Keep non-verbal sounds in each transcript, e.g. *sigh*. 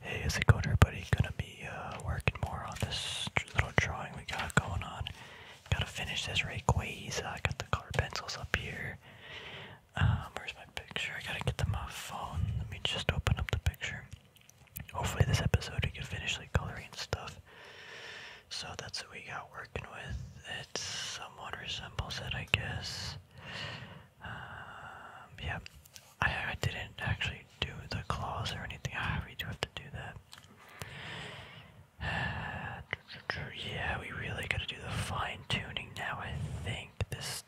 Hey, how's it going everybody? Gonna be uh, working more on this little drawing we got going on. Gotta finish this Rayquaza. I got the color pencils up here. Um, where's my picture? I gotta get them off phone. Let me just open up the picture. Hopefully this episode we can finish like coloring stuff. So that's what we got working with. It somewhat resembles it, I guess. Um, yeah, I, I didn't actually do the claws or anything. we do have to do that. *sighs* yeah, we really gotta do the fine tuning now, I think. This.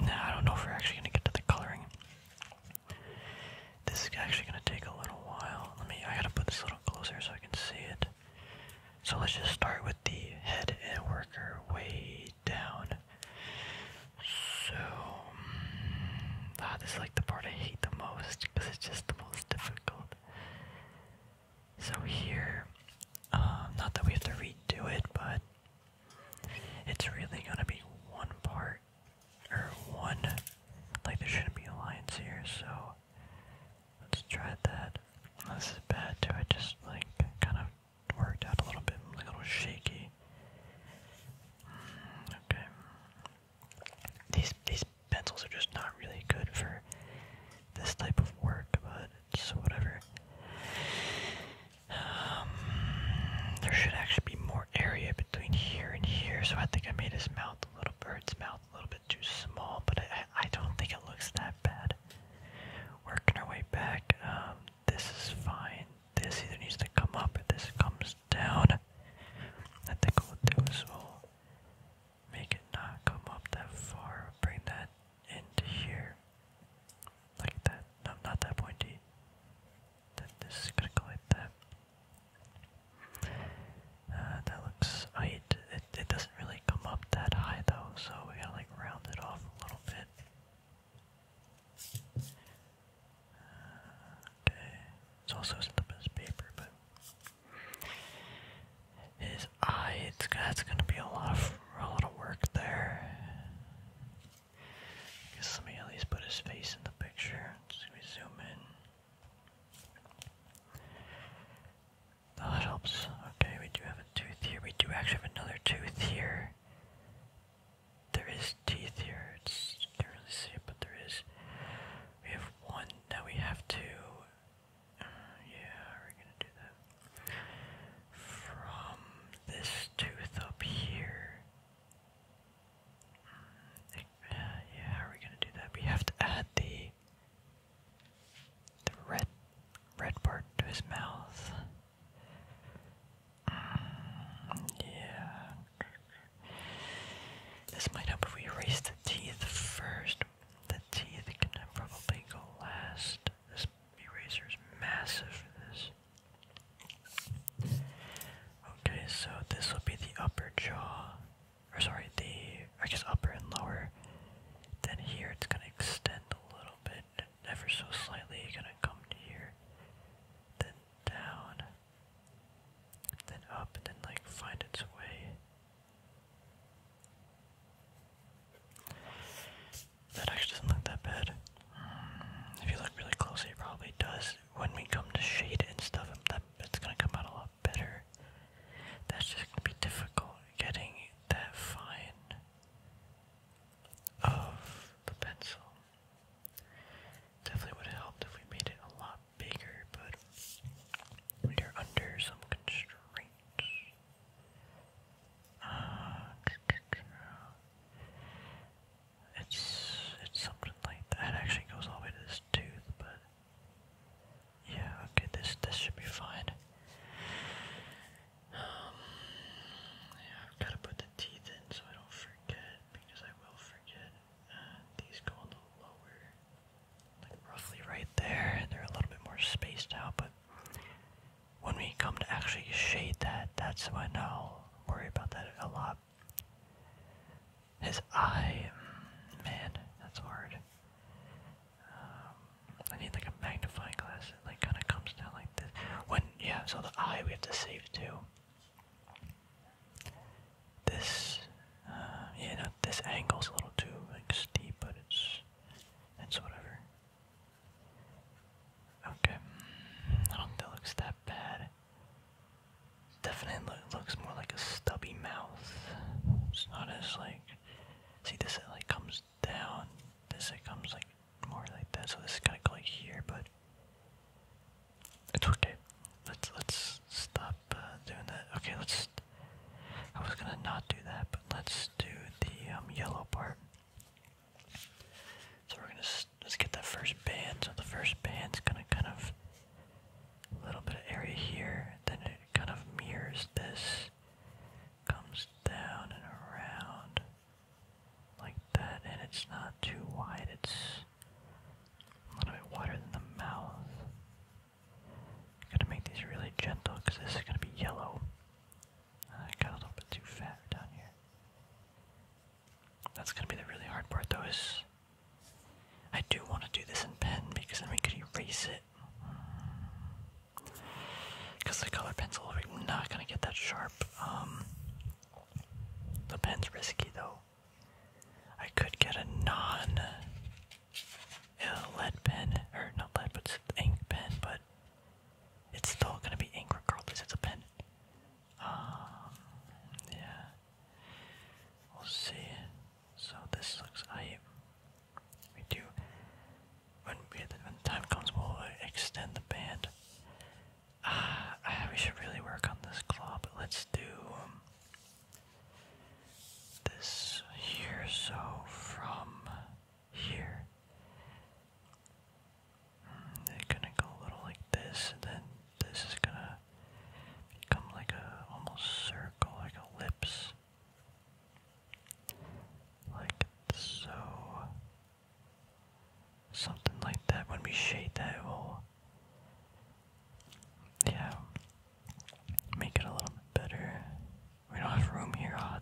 Now, I don't know if we're actually gonna get to the coloring. This is actually gonna take a little while. Let me. I gotta put this a little closer so I can see it. So let's just start with the head and worker. our down. So, ah, like the part I hate the most because it's just the most difficult. So here, um, not that we have to redo it, but it's really gonna be one part or one. Like there shouldn't be lines here, so let's try that. This is bad too. I just like kind of worked out a little bit, a little shaky. Mm, okay. These these pencils are just not really good for this type of work, but whatever. Um, there should actually be more area between here and here, so I think I made his mouth a little bird's mouth a little bit too small, but I I don't think it looks that bad. Working our way back, um, this is fine. This either needs to come up or this comes down. I think what we'll do is make it not come up that far. Bring that into here. Like that. No, not that pointy. That this is gonna go like that. Uh, that looks. right. Oh, it, it it doesn't really come up that high though, so we gotta like round it off a little bit. Uh, okay. It's also isn't the best paper, but his eye, it's that's gonna be a lot of a lot of work there. guess let me at least put his face in the picture. let me zoom in. That helps. Okay, we do have a tooth here. We do actually have another tooth here there is teeth here. It's you can't really see it, but there is. We have one Now we have two. Uh, yeah, we're gonna do that. From this tooth up here. Hmm, think, uh, yeah, how are we gonna do that? We have to add the the red red part to his mouth. Um, yeah. This might help if we erase the teeth first. The teeth can probably go last. This eraser is massive for this. Okay, so this will be the upper jaw. Or sorry, the I guess upper and lower. Then here it's gonna extend a little bit ever so slightly you're gonna come to here, then down, then up, then like find its way. That actually doesn't look that bad. If you look really closely, it probably does. When we come to shade and stuff, that it's gonna come out a lot better. That's just gonna be difficult getting that fine of the pencil. Definitely would have helped if we made it a lot bigger, but we are under some constraints. Uh, it's it's something like that. actually goes all the way to this tooth, but yeah, okay, this this should be fine. Um, I've got to put the teeth in so I don't forget, because I will forget. Uh, these go a little lower, like roughly right there. They're a little bit more spaced out, but when we come to actually shade that, that's when I'll worry about that a lot. His eye, mm, man, that's hard. Um, I need like a magnifying glass like kind of comes down like this. When yeah, so the eye we have to save too. This uh, yeah, no, this angle's a little too like steep, but it's it's whatever. Okay, that looks that bad. Definitely looks more like a stubby mouth. It's not as like. See, this it like comes down, this it comes like more like that, so this is gonna like here, but it's okay. Let's let's stop uh, doing that. Okay, let's. I was gonna not do that, but let's do the um, yellow part. So we're gonna let get that first band. So the first band's gonna kind of a little bit of area here, then it kind of mirrors this, comes down and around like that, and it's not too wide. It's a little bit wider than the mouth. Gotta make these really gentle because this is gonna be yellow. Uh, got a little bit too fat down here. That's gonna be the really hard part though is I do want to do this in pen because then we could erase it. Because the color pencil, we're not gonna get that sharp. Um, the pen's risky though. I could get a non uh, lead pen, or not lead, but ink pen, but it's still gonna be ink regardless. It's a pen. Um, yeah. We'll see. So this looks. I. We do when, we, the time comes, we'll extend the band. Ah, ah we should really work on this claw, but let's do um, this here. So from here, mm, gonna go a little like this, and then this is gonna become like a almost circle, like a ellipse. Like so. Something like that when we shade that yeah, make it a little better. We don't have room here, oh,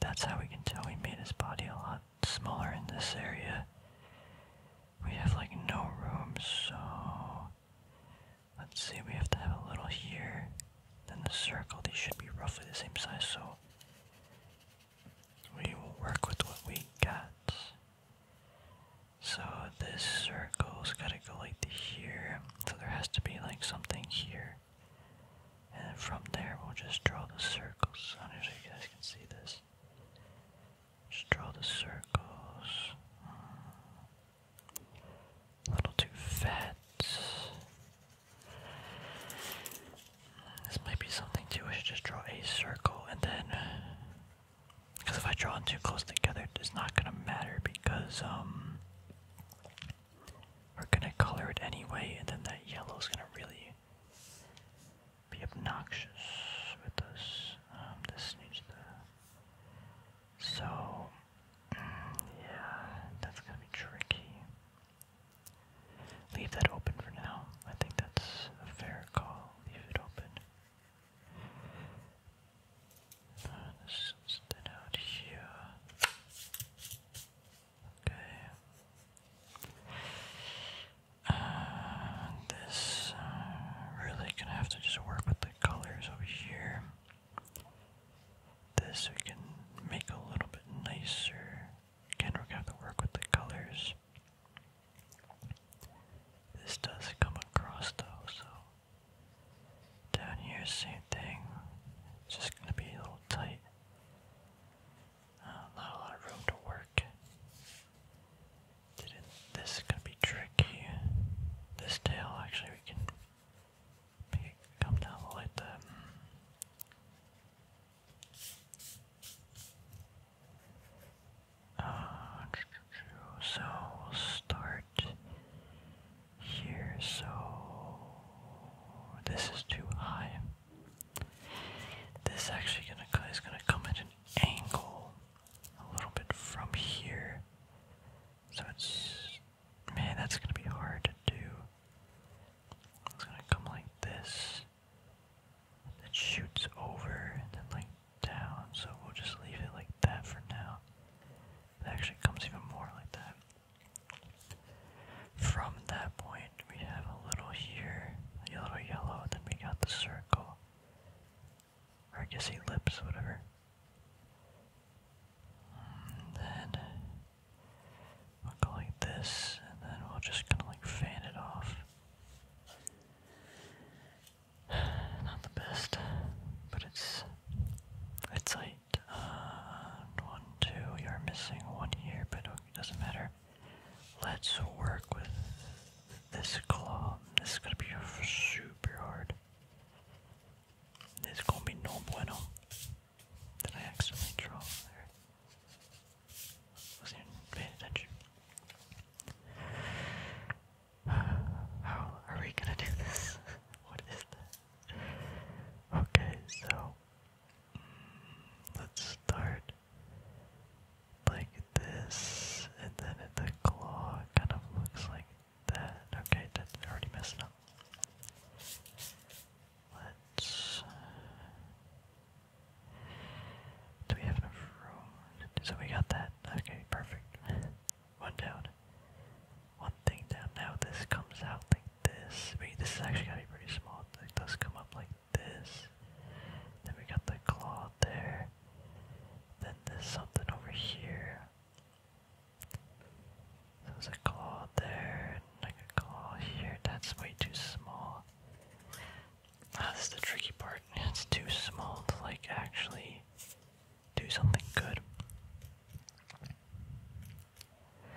That's how we can tell we made his body a lot smaller in this area. We have like no room, so let's see, we have to have a little here. Then the circle, They should be roughly the same size, so we will work with what we got. So this circle's gotta go like to here. So there has to be like something here. And from there we'll just draw the circles. I don't know if you guys can see this. Just draw the circles. A uh, little too fat. This might be something too. I should just draw a circle and then. Because if I draw them too close together, it's not gonna matter because, um. We're gonna color it anyway, and then that yellow's gonna really be obnoxious with us. this um, needs to. So. Mm, yeah, that's gonna be tricky. Leave that open for now. I think that's a fair call. Leave it open. Uh, out here. Okay. this uh, really gonna have to just work with the colors over here. This we can make a little bit nicer. Again, we to work with the colors. This does come across though, so down here, same thing. just going to be a little tight. Uh, not a lot of room to work. this is going to be tricky. This tail, actually, we can Come down the light there. so start here. So this is too high. This actually gonna is gonna come at an angle a little bit from here. So it's man, that's gonna be hard to do. It's gonna come like this. And shoots over and then like down. So we'll just leave it like that for now. It actually comes even more like that. From that point, we have a little here, a little yellow, and then we got the circle. Or I guess ellipse, whatever. then We'll go like this, and then we'll just kind of like fan it off. *sighs* Not the best, but it's it's light. Uh, one, two. You're missing one here, but it doesn't matter. Let's work with this claw. This is gonna be super hard. It's gonna be no bueno. Did I accidentally draw there? Wasn't paying attention. *sighs* How are we gonna do this? *laughs* what is this? Okay, so mm, let's start like this, and then the claw kind of looks like that. Okay, that's already messed up. Let's. Uh, do we have enough room? So we got that. Okay, perfect. One down. One thing down. Now this comes out like this. Wait, this is actually going to be pretty small. It does come up like this. Then we got the claw there. Then there's something over here. So there's a claw there, and like a claw here. That's way too small. Ah, this is the tricky part. It's too small to like actually do something good.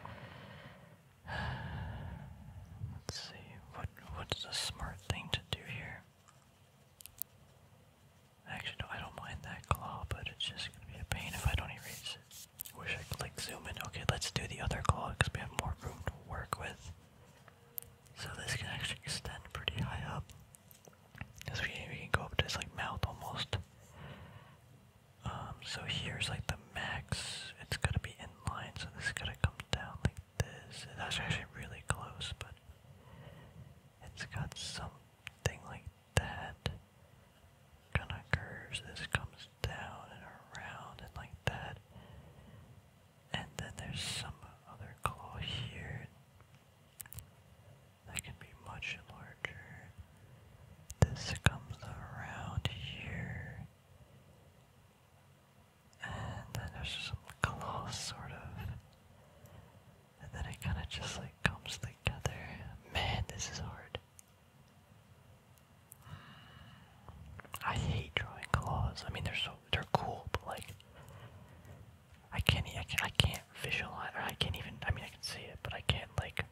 *sighs* Let's see, what what's the smart thing to do here? Actually, no, I don't mind that claw, but it's just gonna be a pain if I don't erase it. Wish I could like zoom in. Okay, let's do the other claw because we have more room to work with. So this can actually extend pretty high up. Because we, we can go up to his like mouth almost. Um, so here's like the max. It's going to be in line, so this is going to come down like this. That's actually really close, but it's got something like that. Kinda curves. This comes down and around and like that. And then there's some other claw here that can be much larger. This comes around here. And then there's some claw sort of. And then it kind of just like comes together. Man, this is hard. I hate drawing claws. I mean, they're so they're cool, but like, I can't I can't, I can't visualize, I can't even. I mean, I can see it, but I can't like.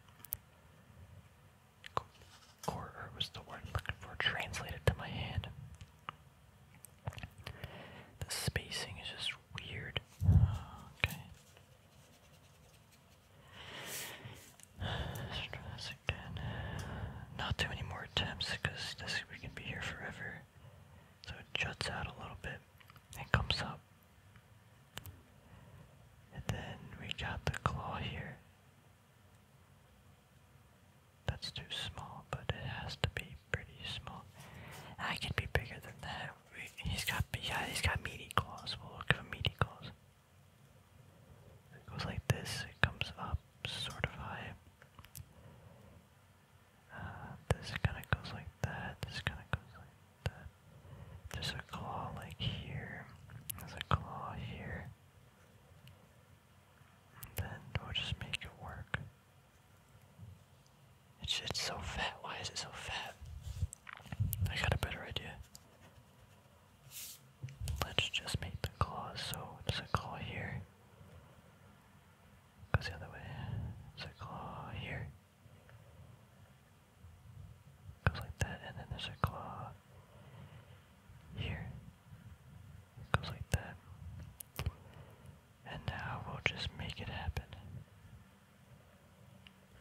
Or, was the word looking for translated to my hand? The spacing is just weird. *sighs* Okay. Not too many more attempts because this we can be here forever. So it juts out a little bit and comes up. And then we got the claw here. That's too small, but it has to be pretty small. I could be bigger than that. he's got yeah, he's got meaty claws. We'll look for meaty claws. It goes like this, it comes up sort of high. Uh, this kind of goes like that, this kind of goes like that. There's a claw like here, there's a claw here. then we'll just make it work. It's, it's so fat, why is it so fat? I got a better idea. Let's just make the claws so it's a claw here. Goes the other way. It's a claw here. Goes like that, and then there's a claw here. Goes like that. And now we'll just make it happen.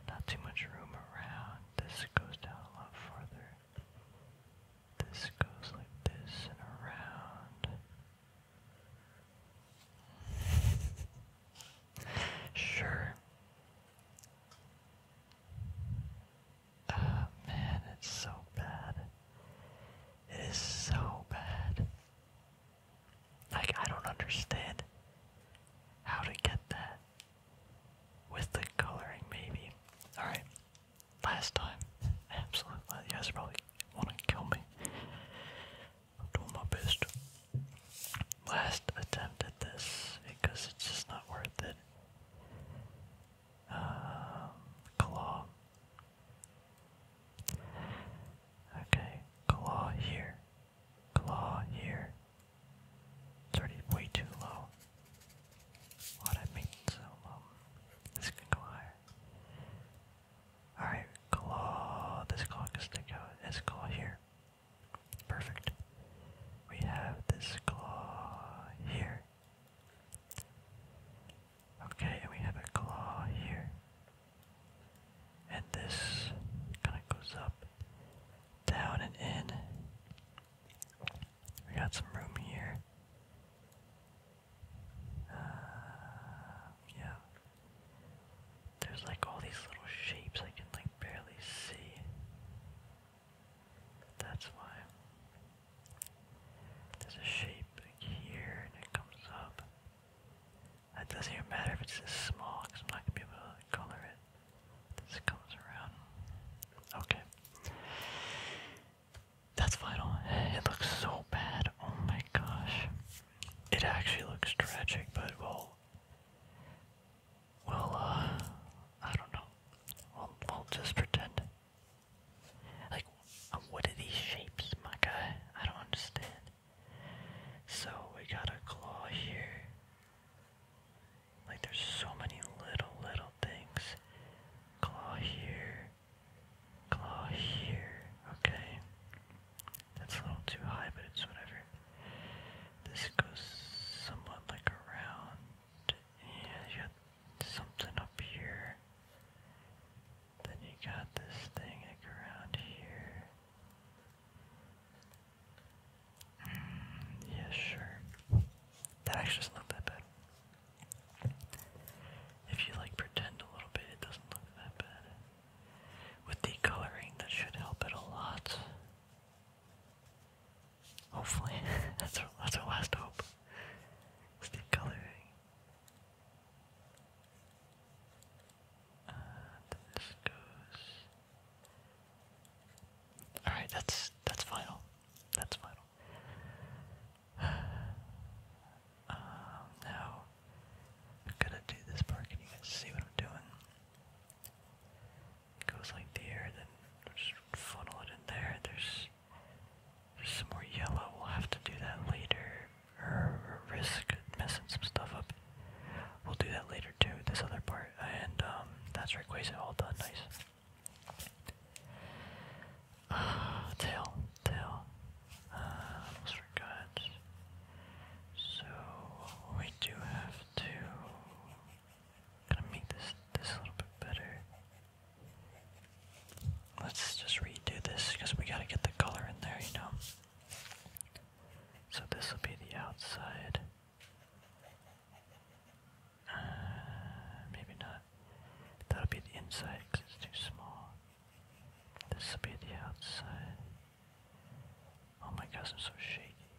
Not too much room around. This goes down a lot farther. This goes like this and around. *laughs* Sure. Oh man, it's so bad. It is so bad. Like, I don't understand how to get that with the coloring, maybe. Alright, last time. *laughs* Absolutely. You guys probably want to kill me. I'm doing my best. Last attempt at this because it's just not worth it. Um, claw. Okay, claw here. Claw here. It's already way too low. Why'd I make so low? Um, this can go higher. Alright, claw. This claw can stick out. It's claw here. Perfect. We have this claw here. Okay, and we have a claw here. And this kind of goes up down and in. We got some room here. Uh, yeah. There's like all these little shapes I can like barely see. That's why. There's a shape here and it comes up. It doesn't even matter if it's small because I'm color it. This goes around. Okay. That's vital. It looks so bad. Oh my gosh. It actually looks tragic, but we'll. Well, uh. I don't know. We'll, we'll just pretend. Like, um, what are these shapes, my guy? I don't understand. So, we got a claw here. Like there's so many little, little things. Claw here. Claw here. Okay. That's a little too high, but it's whatever. This goes somewhat like around. Yeah, you got something up here. Then you got this thing around here yeah, sure. That actually doesn't look that bad. If you like pretend a little bit, it doesn't look that bad. With the coloring, that should help it a lot. Hopefully, *laughs* that's our, that's our last hope. the coloring. Uh, this goes all right, that's that's final. That's final. *sighs* Um, now I'm gonna do this part. Can you guys see what I'm doing? goes like there, then funnel it in there. There's there's some more yellow. We'll have to do that later, or risk messing some stuff up. We'll do that later too, this other part, and um, that's Rayquaza all done, nice. *sighs* tail, tail, uh, almost forgot. So, we do have to, gonna make this, this a little bit better. Let's just redo this, because we gotta get the color in there, you know. So this will be the outside. Uh, maybe not. That'll be the inside because it's too small. This will be the outside. Oh my gosh, I'm so shaky.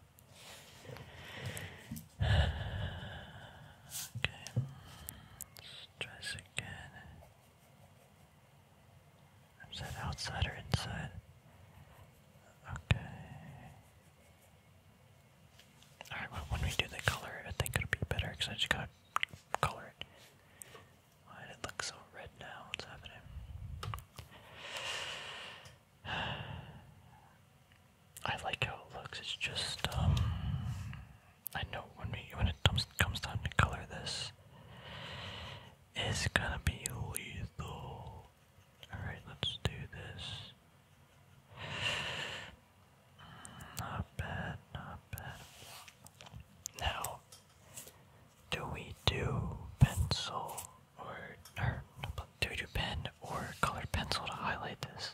*sighs* okay, let's try again. Is that outside or inside? Okay. Alright, when we do the color, I think it'll be better because I just gotta Why did it look so red now? What's happening? *sighs* I like how it looks. It's just, um, I know when we when it comes comes time to color this, is gonna be lethal. Alright, let's do this. Not bad, not bad. Now, do we do pencil or, do we pen or colored pencil to highlight this?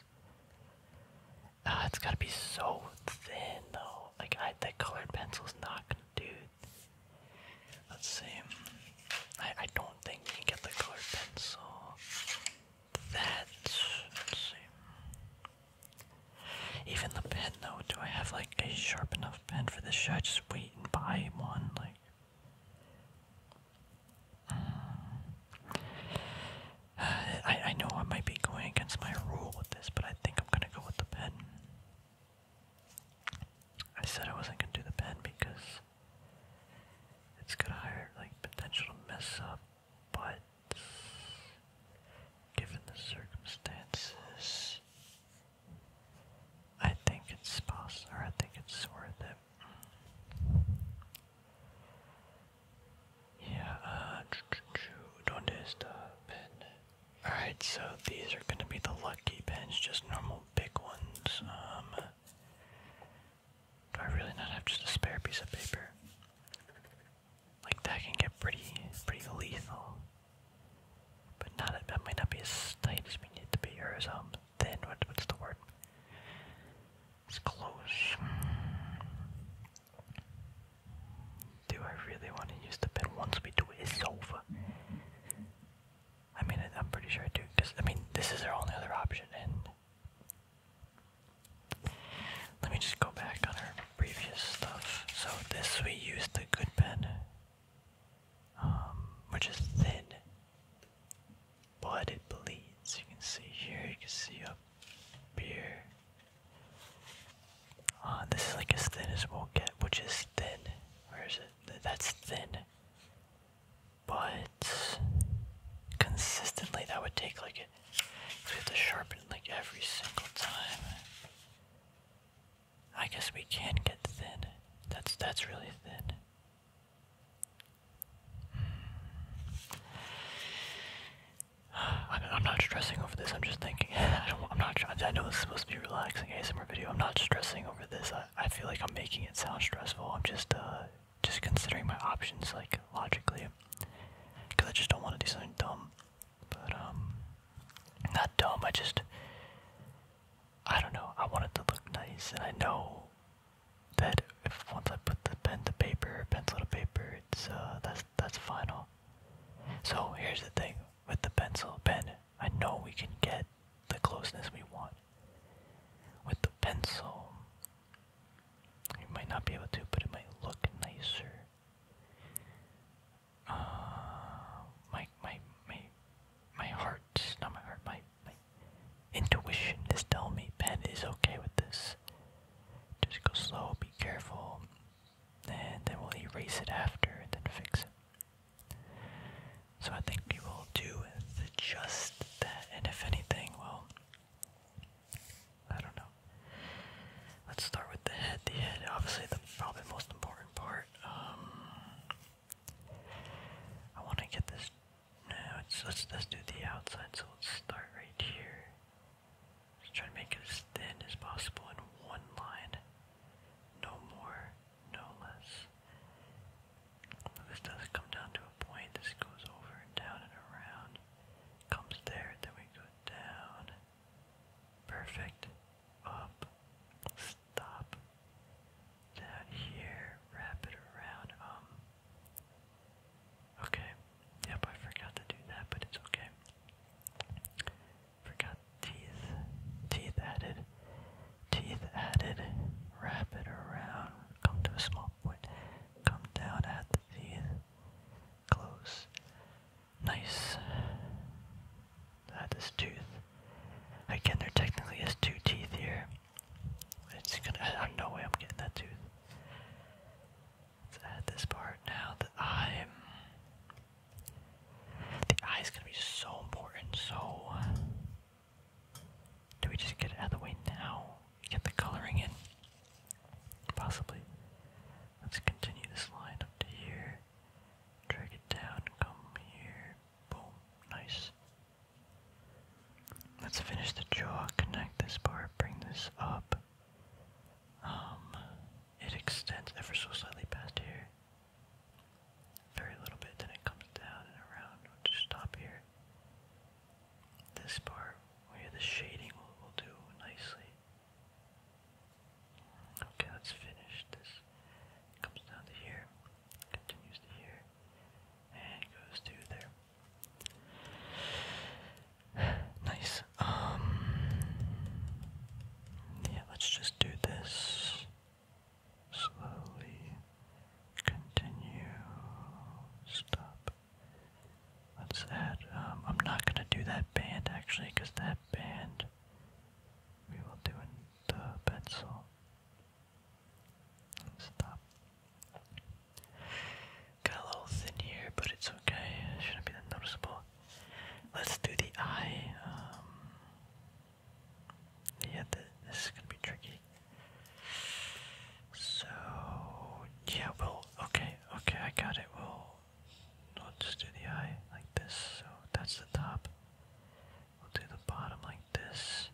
Uh, it's gotta be so thin though. Like I, that colored pencil's not gonna do Let's see. I, I don't think you can get the colored pencil. That. let Even the pen, though. Do I have, like, a sharp enough pen for this? Should I just wait and buy one? Like. Mm. I, I know I might be going against my rule with this, but I think I'm gonna go with the pen. I said I wasn't gonna do the pen because it's got a like potential mess up, but given the circumstances, I think it's possible. I think it's worth it. Yeah. Uh, donde esta pen? All right. So these are gonna be the lucky pens, just normal big ones. Um. Do I really not have just a spare piece of paper? Like that can get pretty, pretty lethal. But not that might not be as tight as we need to be, or as um thin. What, what's the word? It's close. Do I really want to use the pen once we do it? It's over. I mean, I, am pretty sure I do, because, I mean, this is their only other option, and... Let me just go back on our previous stuff. So this, we use the good pen, um, which is thin, but bleeds. You can see here, you can see up here. Uh, this is like as thin as we'll get, which is thin. Where is it? That's thin but consistently that would take like We have to sharpen like every single time. I guess we can get thin. That's that's really thin. *sighs* I'm, not stressing over this. I'm just thinking. *laughs* I am not. I know this is supposed to be relaxing ASMR video. I'm not stressing over this. I feel like I'm making it sound stressful. I'm just uh, just considering my options like logically, because I just don't want to do something dumb. But um, not dumb. I just I don't know. I want it to look nice, and I know that if once I put the pen to paper, pencil to paper, it's uh, that's that's final. So here's the thing with the pencil pen. I know we can get the closeness we want. With the pencil, you might not be able to, but it might look nicer. Uh, my my my my heart, not my heart, my intuition is telling me pen is okay with this. Just go slow, be careful, and then we'll erase it after then fix it. So I think we will do the, just that, and if anything, well, I don't know. Let's start with the head. The head, obviously, the probably most important part. Um, I want to get this. No, it's, let's let's do the outside. So let's start right here. Just try to make it as thin as possible in one line. No more, no less. This does come down to a point. This goes over and down and around. Comes there, then we go down. Perfect. Up. Stop. Down here. Wrap it around. Um. Okay. Yep, I forgot to do that, but it's okay. Forgot teeth. Teeth added. Teeth added. Wrap it around. Come to a small point. Come down at the teeth. Close. Nice. this tooth. Again, there technically is two teeth here. It's gonna. I There's no way I'm getting that tooth. let add this part now. The eye. The eye is gonna be so important. So do we just get out of the way now? Get the coloring in? Possibly. Let's continue this line up to here. Drag it down, come here. Boom. Nice. Let's finish the jaw, connect this part, bring this up. Um, it extends ever so slightly past here. Very little bit, then it comes down and around. We'll just stop here. This part, where the shading will, will do nicely. Okay, let's finish this. It comes down to here, continues to here, and goes to there. *sighs* Nice. Um, yeah, let's just do this slowly continue, stop. What's that? Um, I'm not gonna do that band actually, that band we will do in the pencil. Stop. Got a little thin here, but it's okay. shouldn't be that noticeable. Let's do the eye. Um, yeah, this is gonna be tricky. So yeah, we'll okay, okay, I got it. we'll just do the eye like this. So that's the top. We'll do the bottom like this.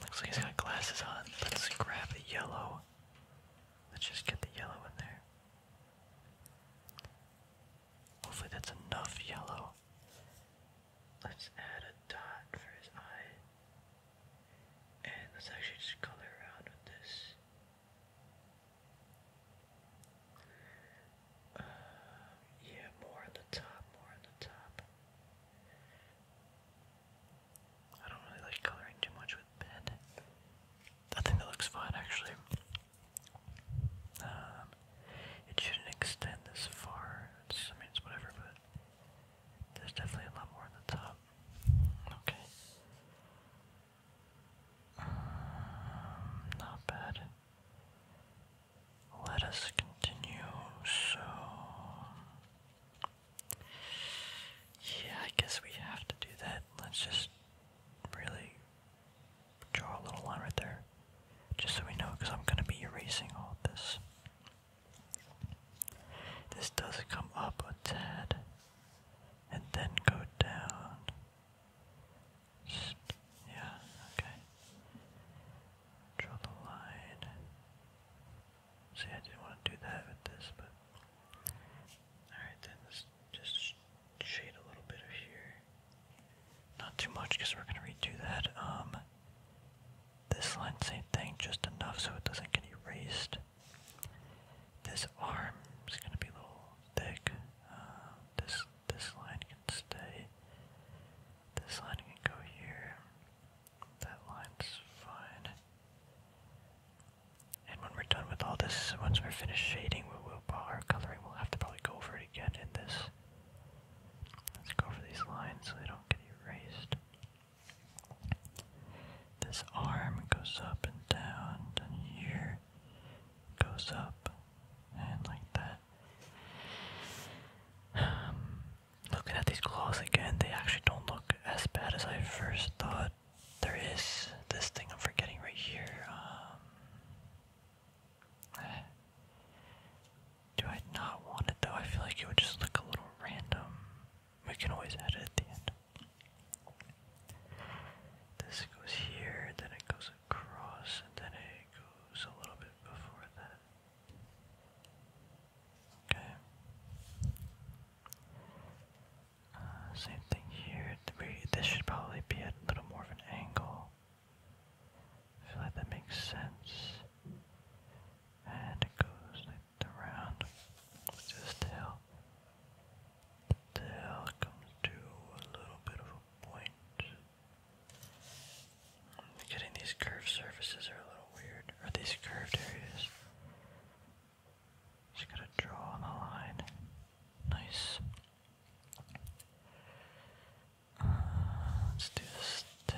Looks like he's got glasses on. Let's grab the yellow. Let's just get the yellow in there. Hopefully that's enough yellow. Let's add a dot for his eye. And let's actually just color around with this. Uh, yeah, more on the top, more on the top. I don't really like coloring too much with pen. I think that looks fine actually. Um, it shouldn't extend this far. It's, I mean, it's whatever, but there's definitely a lot more on the top. Okay. Um, not bad. Let us continue. So, yeah, I guess we have to do that. Let's just really draw a little line right there, just so we know, because I'm gonna be erasing all this. This does come up a tad, and then go down. yeah, okay. Draw the line. See, I didn't want to do that with this, but. Alright, then just shade a little bit of here. Not too much because we're gonna redo that. Um, this line, same thing, just enough so it doesn't get erased. This arm is gonna be a little thick. Um, this this line can stay. This line can go here. That line's fine. And when we're done with all this, once we're finished shading, we will our coloring. We'll have to probably go over it again in this Let's go for these lines so they don't get erased. This arm goes up and down, and here goes up and like that. Um, looking at these claws again, they actually don't look as bad as I first thought. There is this thing I'm forgetting right here. Um, do I not want it though? I feel like it would just look a little random. We can always add at the end. This goes here, then it goes across, and then it goes a little bit before that. Okay. Uh, same thing here. This should probably be at a little more of an angle. I feel like that makes sense. And it goes like around just till the tail comes to a little bit of a point. Getting these curved surfaces are a little weird. Or these curved areas. Just gotta draw on the line. Nice let's do this too.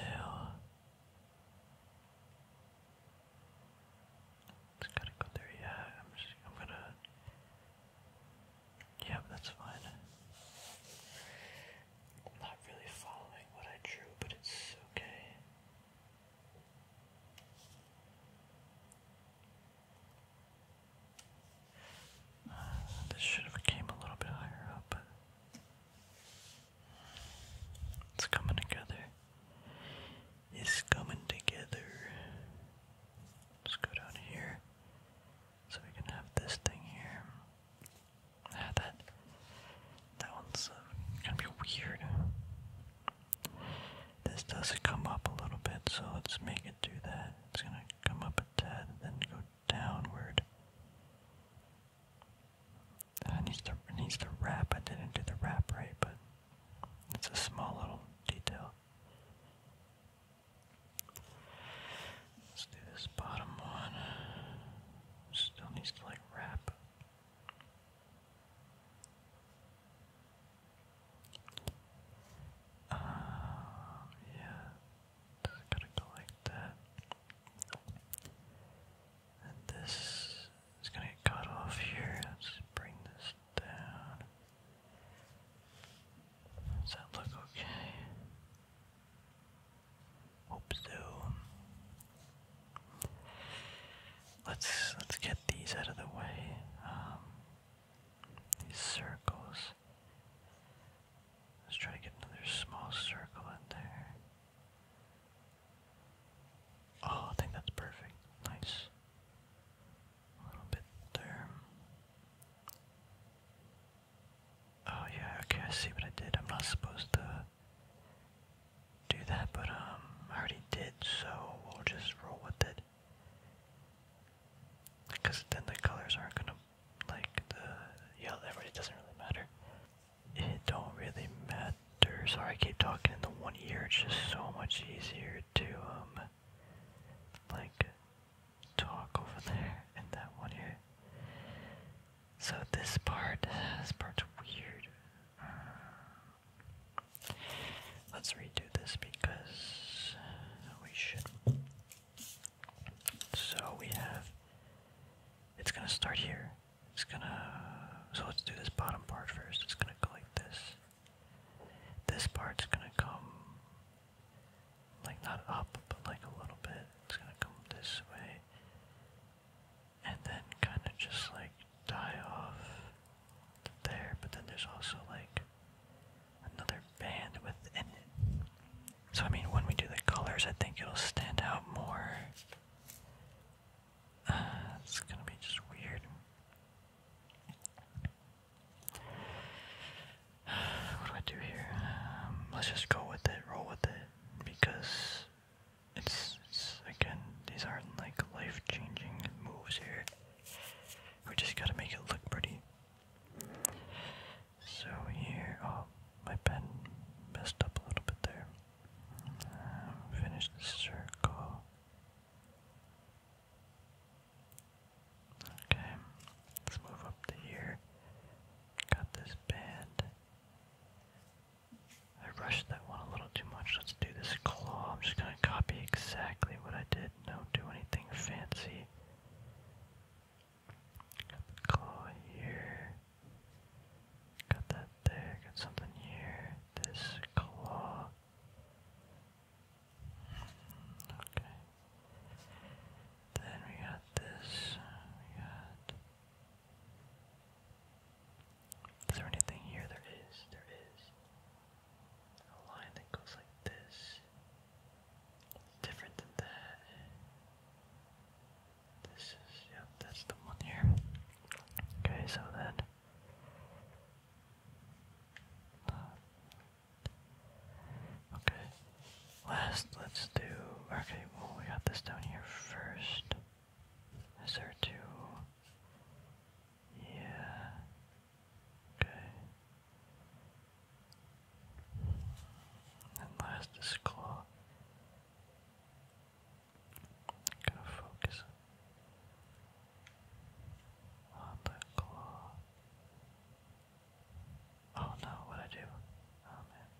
Just gotta go there, yeah. I'm just I'm gonna Yeah, that's fine. not really following what I drew, but it's okay. Uh, this should have came a little bit higher up, it's coming together. It's coming together. Let's go down here, so we can have this thing here. Ah, that that one's uh, gonna be weird. This does come up a little bit, so let's make it do that. It's gonna come up a tad, then go downward. it needs to needs to wrap. I didn't do the wrap right, but it's a small little detail. Let's do this bottom one. Still needs to like wrap. Um, yeah. So I to go like that. And this is gonna get cut off here. Let's bring this down. Does that look okay? Hope so. Let's let's get these out of the way. Um, these circles. Let's try to get another small circle in there. Oh, I think that's perfect. Nice. A little bit there. Oh yeah, okay, see what I did. I'm not supposed to do that, but um, I already did, so we'll just roll with it. Because then the colors aren't gonna like the yeah, that really doesn't really matter. It don't really matter. Sorry, I keep talking in the one year. It's just so much easier to um like talk over there in that one year. So this part, this part's weird. let's redo this because we should so we have, it's gonna start here. It's gonna, so let's do this bottom part first. It's gonna go like this. This part's gonna come, like not up, but like a little bit. It's gonna come this way. And then kind of just like die off there, but then there's also like another band within it. So I mean, when we do the colors, I think it'll stand out more. Uh, it's gonna be just weird. *sighs* What do I do here? Um, let's just go with it, roll with it, because it's again, these aren't like life-changing moves here. We just gotta make it look pretty. So here, oh, my pen messed up a little bit there. Um, finish the circle. Okay, let's move up to here. Got this band. I rushed that one a little too much. Let's do this claw. I'm just gonna copy exactly what I did. Don't do anything fancy. Claw here. Got that there. Got something here. This claw. Okay. Then we got this. We got. Is there anything here? There is. There is. A line that goes like this different than that. This is, yep, that's the one here. Okay, so then. Okay, last let's do, okay, well we got this down here first. Is there two? Yeah. Okay. And last is claw. got focus on the claw. Oh no, what'd I do? Oh man.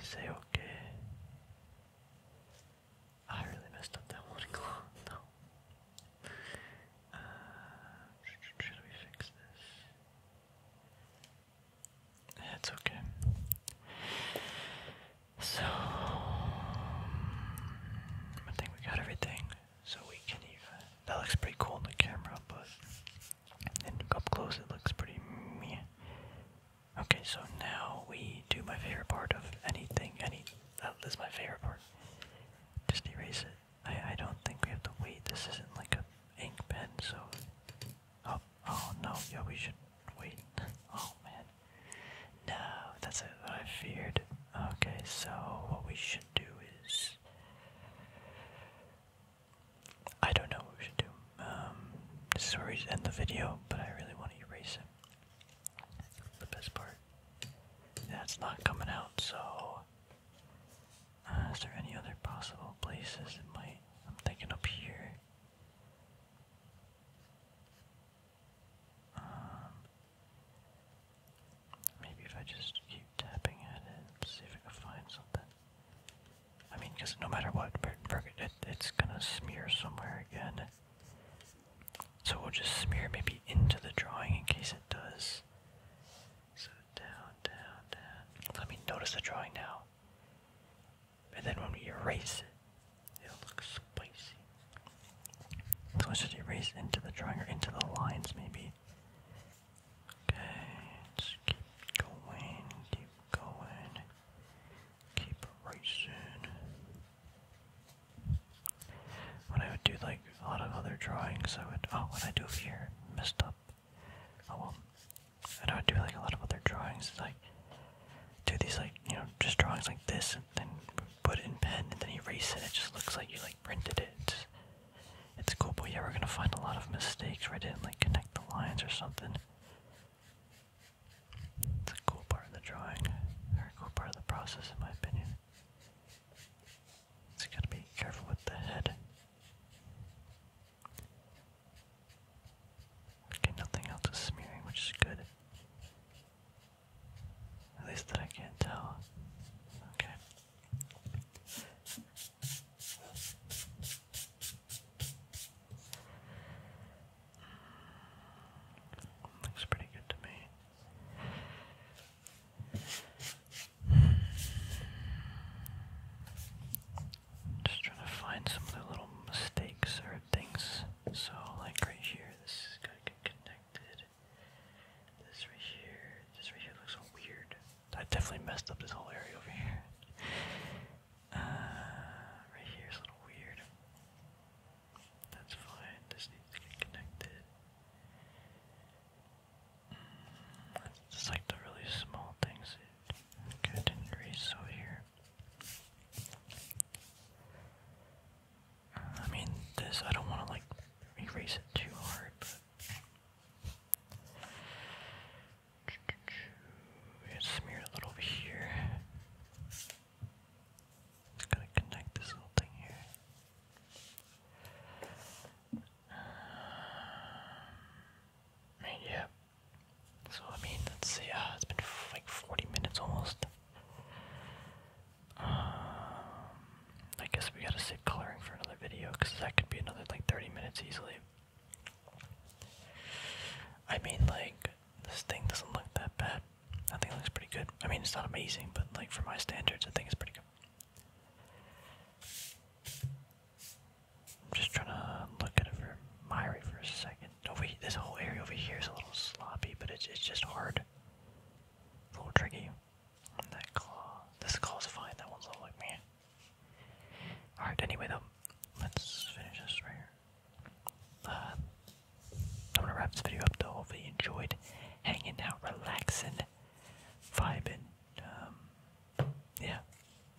Is okay? I really messed up that one *laughs* claw. No. Uh, should we fix this? That's okay. So, I think we got everything. So we can even. That looks pretty cool on the camera, but then up close it looks pretty meh. Okay, so now we do my favorite part of anything. Any that is my favorite part. Just erase it. I I don't think we have to wait. This isn't like a ink pen, so oh oh no, yeah we should wait. oh man, no, that's what I feared. Okay, so what we should do is I don't know what we should do. Um, this is where we end the video, but I really want to erase it. The best part. That's not coming out, so uh, is there any other possible places it might? I'm thinking up here. Um, maybe if I just keep tapping at it, let see if I can find something. I mean, because no matter what, it, it's gonna smear somewhere again. So we'll just smear maybe into the drawing in case it does. So down, down, down. Let me notice the drawing now. And then when we erase it, it'll look spicy. So let's just erase into the drawing or into the lines maybe. Okay, let keep going, keep going, keep erasing. What I would do like a lot of other drawings I would. Oh, what I do here messed up. Oh well. And I would do like a lot of other drawings, like do these like you know just drawings like this, and then put it in pen, and then erase it. It just looks like you like printed it. It's, it's cool, but yeah, we're gonna find a lot of mistakes where I didn't like connect the lines or something. It's a cool part of the drawing, or a cool part of the process, in my opinion. So you gotta be careful with the head. Okay, nothing else is smearing, which is good. At least that I can tell. Okay. Looks pretty good to me. Just trying to find some of the little mistakes or things. So, like right here, this is gonna get connected. This right here, this right here looks so weird. I definitely messed up this whole area over here. Uh, right here is a little weird. That's fine. This needs to get connected. Just like the really small things. Okay, I didn't read so here. I mean, this, I don't want to like erase it too hard, but. Smear a little bit here. Just gotta connect this little thing here. *sighs* yeah. So I mean, let's see. Uh, it's been like 40 minutes almost. Um, I guess we gotta save coloring for another video because that could be another like 30 minutes easily. I mean, like this thing doesn't look that bad. I think it looks pretty good. I mean, it's not amazing, but like for my standards, I think it's pretty good. I'm just trying to look at it for Myri for a second. Over this whole area over here is a little sloppy, but it's it's just hard. It's a little tricky. that claw. This claw's fine. That one's all like me. All right. Anyway, though, let's finish this right here. Uh, I'm gonna wrap this video up. Though, hopefully, you enjoyed hanging out, relaxing, vibing um, yeah,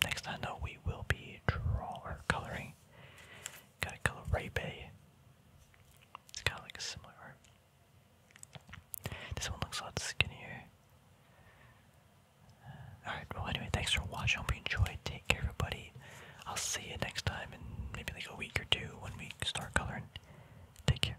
next time though we will be draw or coloring. Gotta color Ray Bay. It's kind of like similar This one looks a lot skinnier. Uh, alright, well anyway, thanks for watching. Hope you enjoyed. Take care everybody. I'll see you next time in maybe like a week or two when we start coloring. Take care.